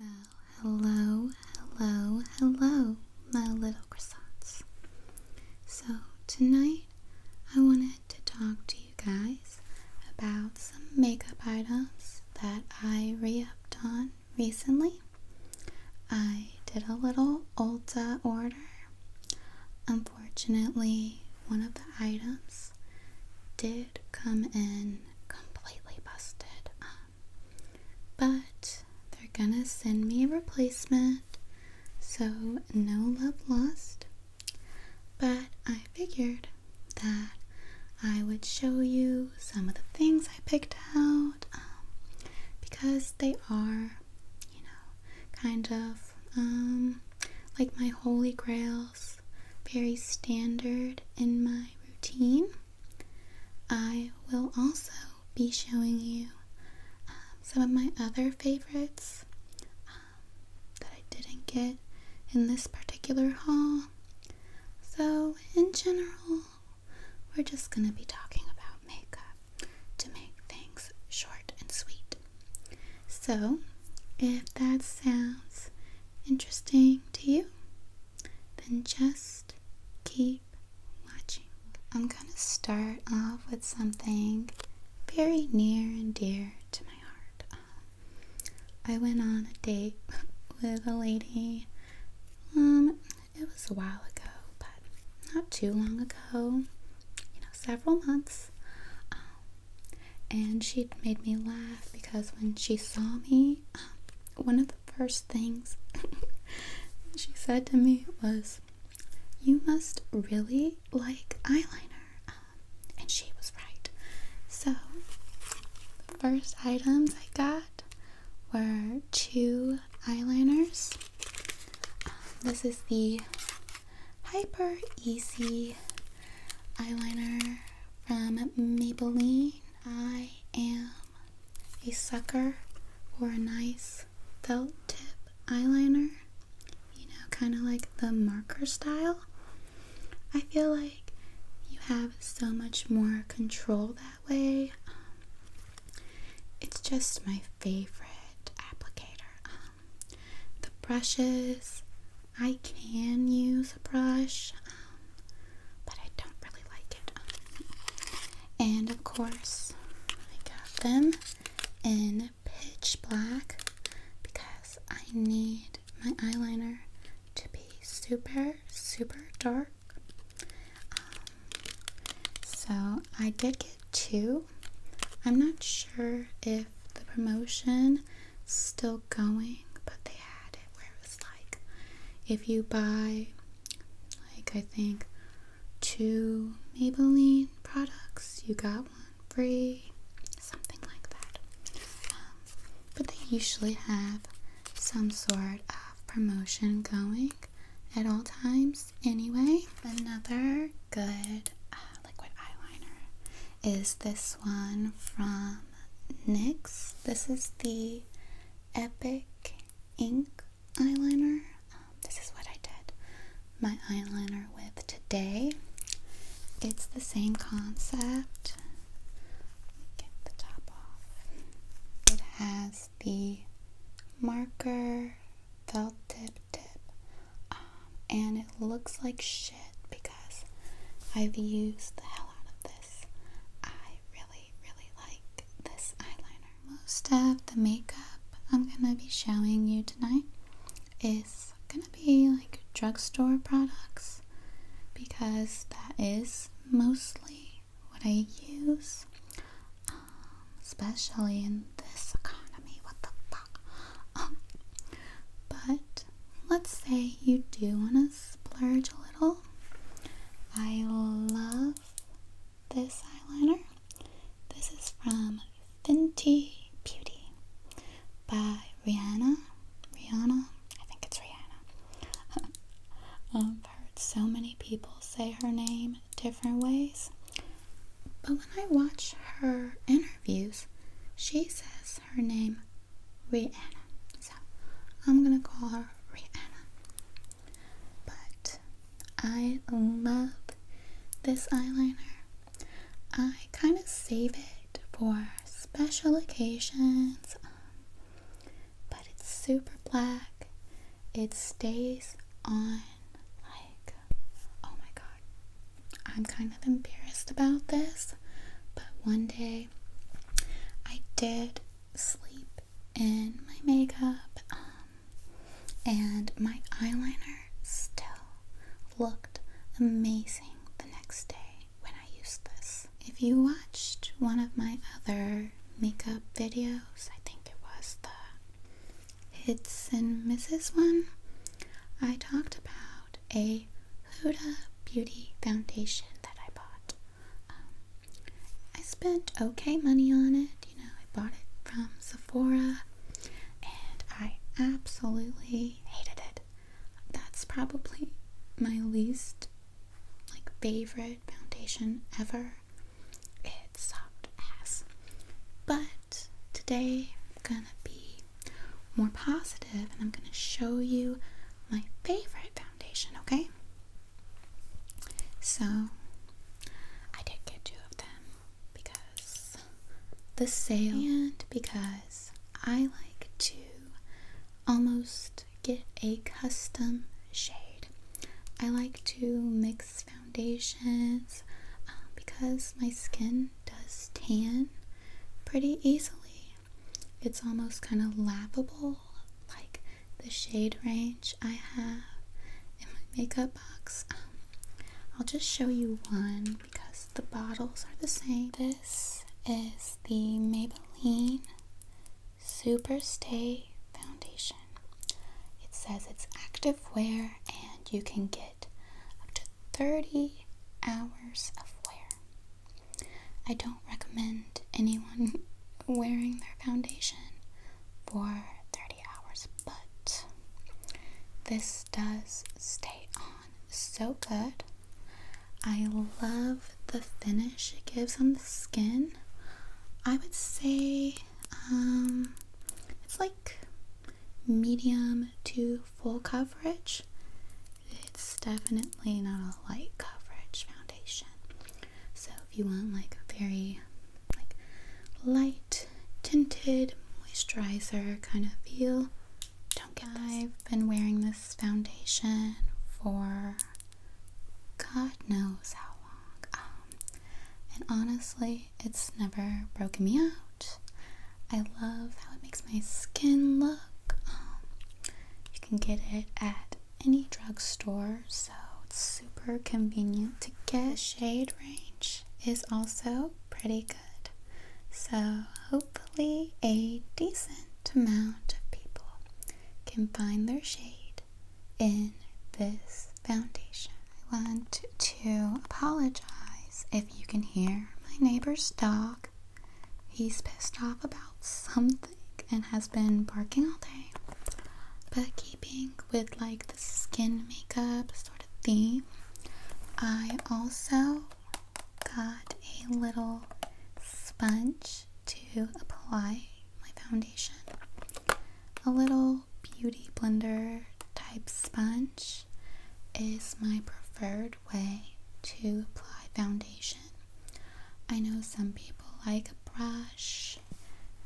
Well, hello, hello, hello, my little croissants. So, tonight I wanted to talk to you guys about some makeup items that I re upped on recently. I did a little Ulta order. Unfortunately, one of the items did come in completely busted but they're gonna send me a replacement, so no love lost. But I figured that I would show you some of the things I picked out um, because they are, you know, kind of um, like my holy grails, very standard in my routine. I will also be showing you um, some of my other favorites um, that I didn't get in this particular haul. So, in general, we're just going to be talking about makeup to make things short and sweet. So, if that sounds interesting to you, then just keep watching. I'm gonna start off with something very near and dear to my heart. Um, I went on a date with a lady. Um, it was a while ago, but not too long ago. You know, several months. Um, and she made me laugh because when she saw me one of the first things she said to me was, You must really like eyeliner. Um, and she was right. So, the first items I got were two eyeliners. Um, this is the Hyper Easy eyeliner from um, Maybelline. I am a sucker for a nice felt tip eyeliner, you know, kind of like the marker style. I feel like you have so much more control that way. it's just my favorite applicator. Um, the brushes I can use a brush, um, but I don't really like it. and of course, I got them in pitch black because I need my eyeliner to be super, super dark. so I did get two. I'm not sure if the promotion still going, but they had it where it was like if you buy, like, I think two Maybelline products, you got one free, something like that. Um, but they usually have some sort of promotion going at all times anyway another good uh, liquid eyeliner is this one from Next, This is the Epic Ink Eyeliner. Um, this is what I did my eyeliner with today. It's the same concept. Get the top off. It has the marker felt tip tip. Ah, and it looks like shit because I've used the hell out of this. I really, really like this eyeliner. Most of the makeup I'm gonna be showing you tonight is gonna be like drugstore products because that is mostly what I use, um, especially in this economy. What the fuck? but let's say you do want to splurge a little. I love this eyeliner. This is from Fenty Beauty by Rihanna. Rihanna, I think it's Rihanna. Um, I've heard so many people say her name different ways, but when I watch her interviews, she says her name Rihanna. So I'm gonna call her Rihanna. But I love this eyeliner. I kind of save it for special occasions. but it's super black. It stays on like oh my god, I'm kind of embarrassed about this, but one day I did sleep in my makeup, um, and my eyeliner still looked amazing the next day when I used this. If you watched one of my other makeup videos, I think it was the Hits and Misses one, I talked about a Huda Beauty foundation that I bought. Um, I spent okay money on it. You know, I bought it from Sephora and I absolutely hated it. That's probably my least like favorite foundation ever. It sucked ass. But today I'm gonna be more positive and I'm gonna show you my favorite foundation, okay? So I did get two of them because the sale and because I like to almost get a custom shade. I like to mix foundations um, because my skin does tan pretty easily. It's almost kind of lappable, like the shade range I have in my makeup box. Um, I'll just show you one because the bottles are the same. This is the Maybelline Superstay Foundation. It says it's active wear and you can get up to 30 hours of wear. I don't recommend anyone wearing their foundation for 30 hours, but this does stay on so good. I love the finish it gives on the skin. I would say um, it's like medium to full coverage. It's definitely not a light coverage foundation. So if you want like a very like light tinted moisturizer kind of feel, don't get this. I've been wearing this foundation for God knows how long. Um, and honestly, it's never broken me out. I love how it makes my skin look. Um, you can get it at any drugstore, so it's super convenient to get. Shade range is also pretty good, so hopefully, a decent amount of people can find their shade in this Foundation. I want to apologize if you can hear my neighbor's dog. He's pissed off about something and has been barking all day. But keeping with like the skin makeup sort of theme, I also got a little sponge to apply my foundation a little beauty blender type sponge is my preferred way to apply foundation. I know some people like a brush,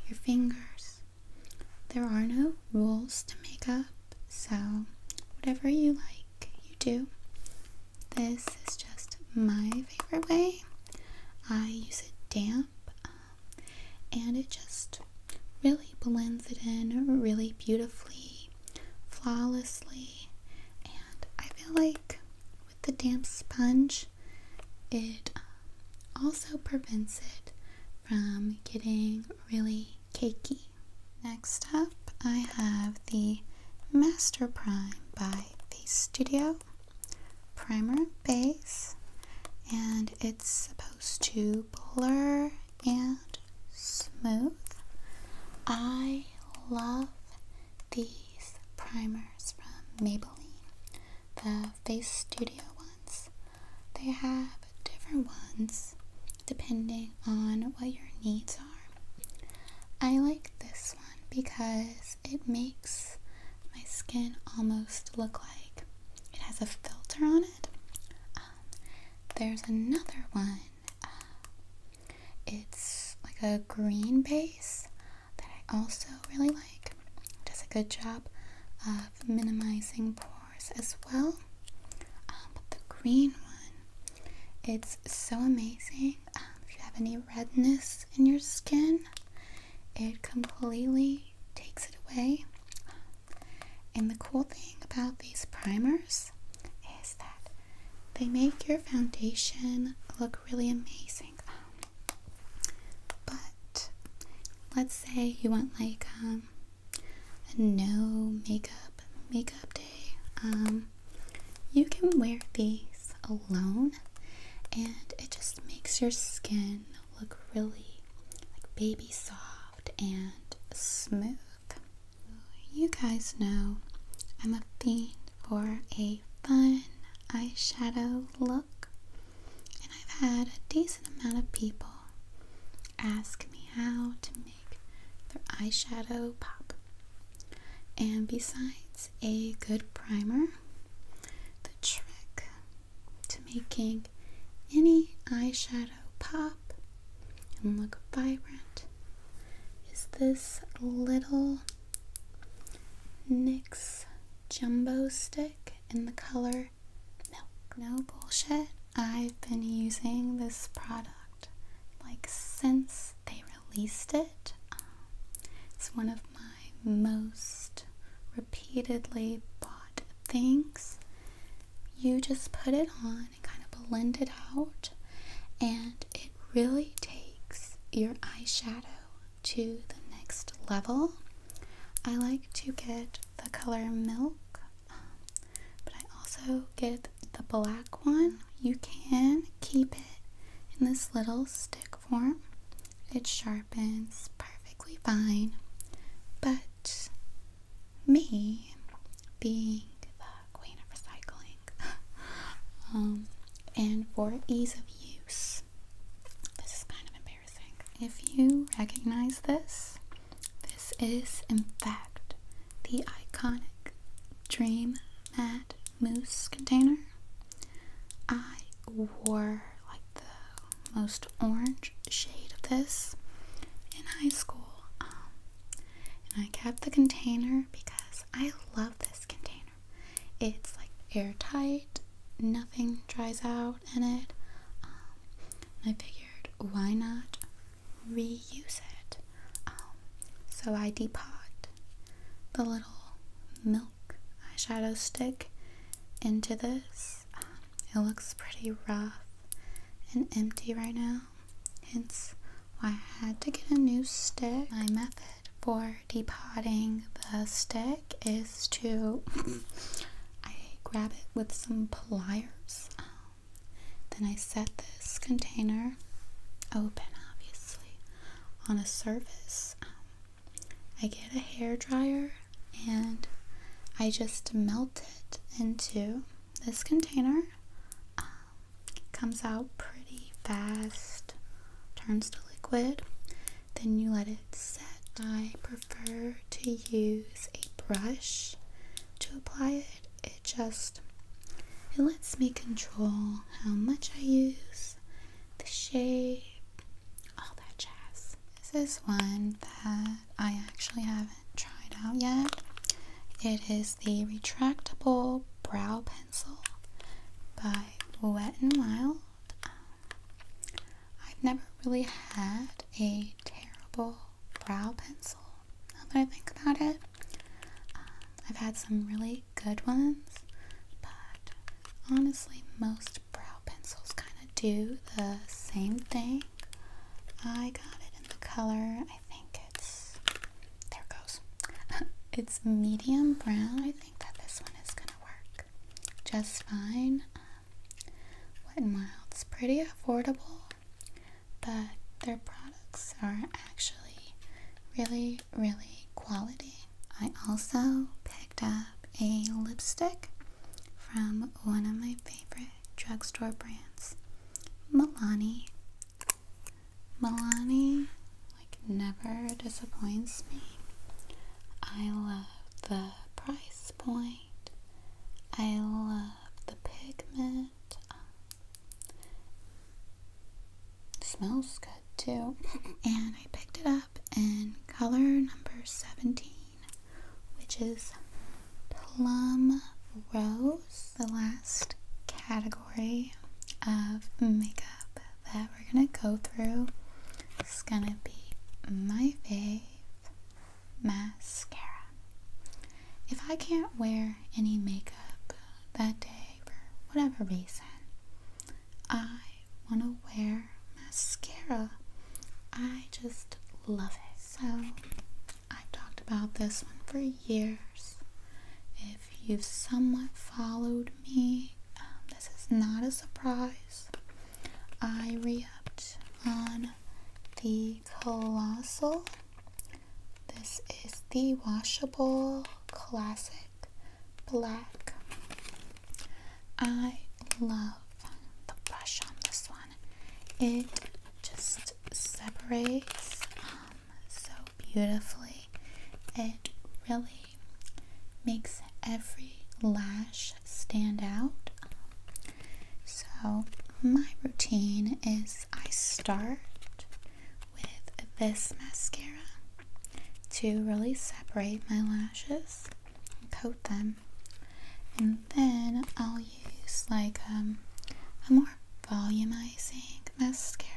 your fingers. There are no rules to makeup, so whatever you like, you do. This is just my favorite way. I use a damp um, and it just really blends it in really beautifully, flawlessly. And I feel like with the damp sponge, it um, also prevents it from getting really cakey. Next up, I have the Master Prime by Face Studio Primer Base, and it's supposed to blur and smooth. I love these primers from Maybelline, the Face Studio ones. They have different ones depending on what your needs are. I like this one because it makes my skin almost look like it has a filter on it. Um, there's another one. Um, it's like a green base that I also really like. does a good job of minimizing pores as well. Um, but the green one, it's so amazing. if you have any redness in your skin, it completely takes it away. And the cool thing about these primers is that they make your foundation look really amazing. but let's say you want like um, a no makeup makeup day. Um, you can wear these alone and it just makes your skin look really like baby soft and smooth. You guys know I'm a fiend for a fun eyeshadow look, and I've had a decent amount of people ask me how to make their eyeshadow pop. And besides a good primer, the trick to making any eyeshadow pop and look vibrant is this little NYX Jumbo Stick in the color Milk. No bullshit, I've been using this product like since they released it. Um, it's one of my most repeatedly bought things. You just put it on and kind of blend it out, and it really takes your eyeshadow to the next level. I like to get the color milk, but I also get the black one. You can keep it in this little stick form, it's sharp apartment's perfectly fine, but me being the queen of recycling, um, and for ease of use, this is kind of embarrassing. If you recognize this, this is in fact the iconic Dream Matte Mousse container. I wore like the most orange shade of this in high school. Um, and I kept the container because I love this container. It's like airtight, nothing dries out in it. Um, I figured why not reuse it? Um, so I depot the little milk eyeshadow stick into this. Um, it looks pretty rough and empty right now, hence why I had to get a new stick. My method for depotting the stick is to I grab it with some pliers. Um, then I set this container open, obviously, on a surface. Um, I get a hair dryer and I just melt it into this container. Um, comes out pretty fast, turns to liquid. Then you let it set. I prefer to use a brush to apply it. It just it lets me control how much I use the shape, all that jazz. This is one that I actually haven't tried out yet. It is the retractable brow pencil by Wet and Wild. I've never really had a terrible brow pencil now that I think about it. Um, I've had some really good ones, but honestly, most brow pencils kind of do the same thing. I got it in the color, I think it's, there it goes. it's medium brown. I think that this one is going to work just fine. Um, wet n Wild's pretty affordable, but their products are actually really, really quality. I also picked up a lipstick from one of my favorite drugstore brands, Milani. Milani like never disappoints me. I love the price point. I love the pigment. Um, smells good good And I picked it up in color number 17, which is Plum Rose, the last category of makeup that we're gonna go through. It's gonna be my favorite mascara. If I can't wear any makeup that day for whatever reason, I want to wear mascara. I just love it. So, I've talked about this one for years. If you've somewhat followed me, um, this is not a surprise. I re on the Colossal. This is the washable classic Black. I love the brush on this one. It just separates um, so beautifully. It really makes every lash stand out. So, my routine is I start with this mascara to really separate my lashes and coat them. And then I'll use like um, a more volumizing mascara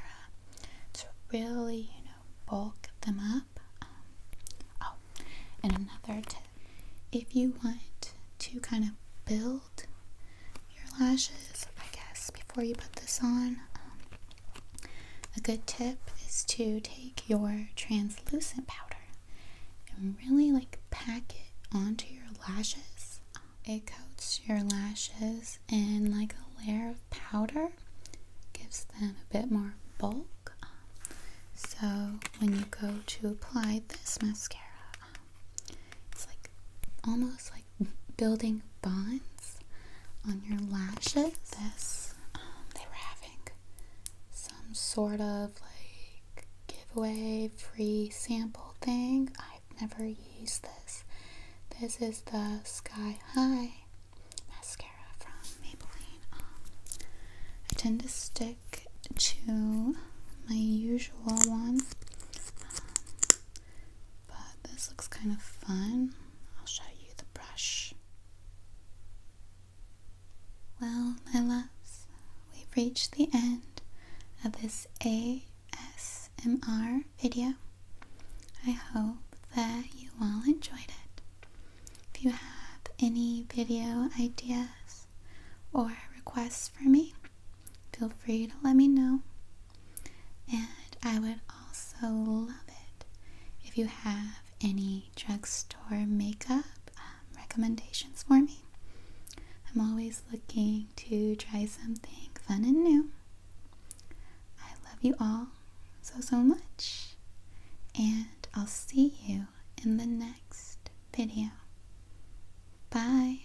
to really, you know, bulk them up. Um, oh, and another tip if you want to kind of build your lashes, I guess, before you put this on, um, a good tip is to take your translucent powder and really like pack it onto your lashes. It coats your lashes in like a layer of powder, gives them a bit more bulk. so when you go to apply this mascara, it's like almost like building bonds on your lashes. This, um, they were having some sort of like giveaway free sample thing. I've never used this. This is the Sky High mascara from Maybelline. Um, I tend to stick to my usual one. Um, but this looks kind of fun. I'll show you the brush. Well, my love, we've reached the end of this ASMR video. I hope that you all enjoyed it. If you have any video ideas or requests for me, feel free to let me know and I would also love it if you have any drugstore makeup um, recommendations for me. I'm always looking to try something fun and new. I love you all so, so much. And I'll see you in the next video. Bye.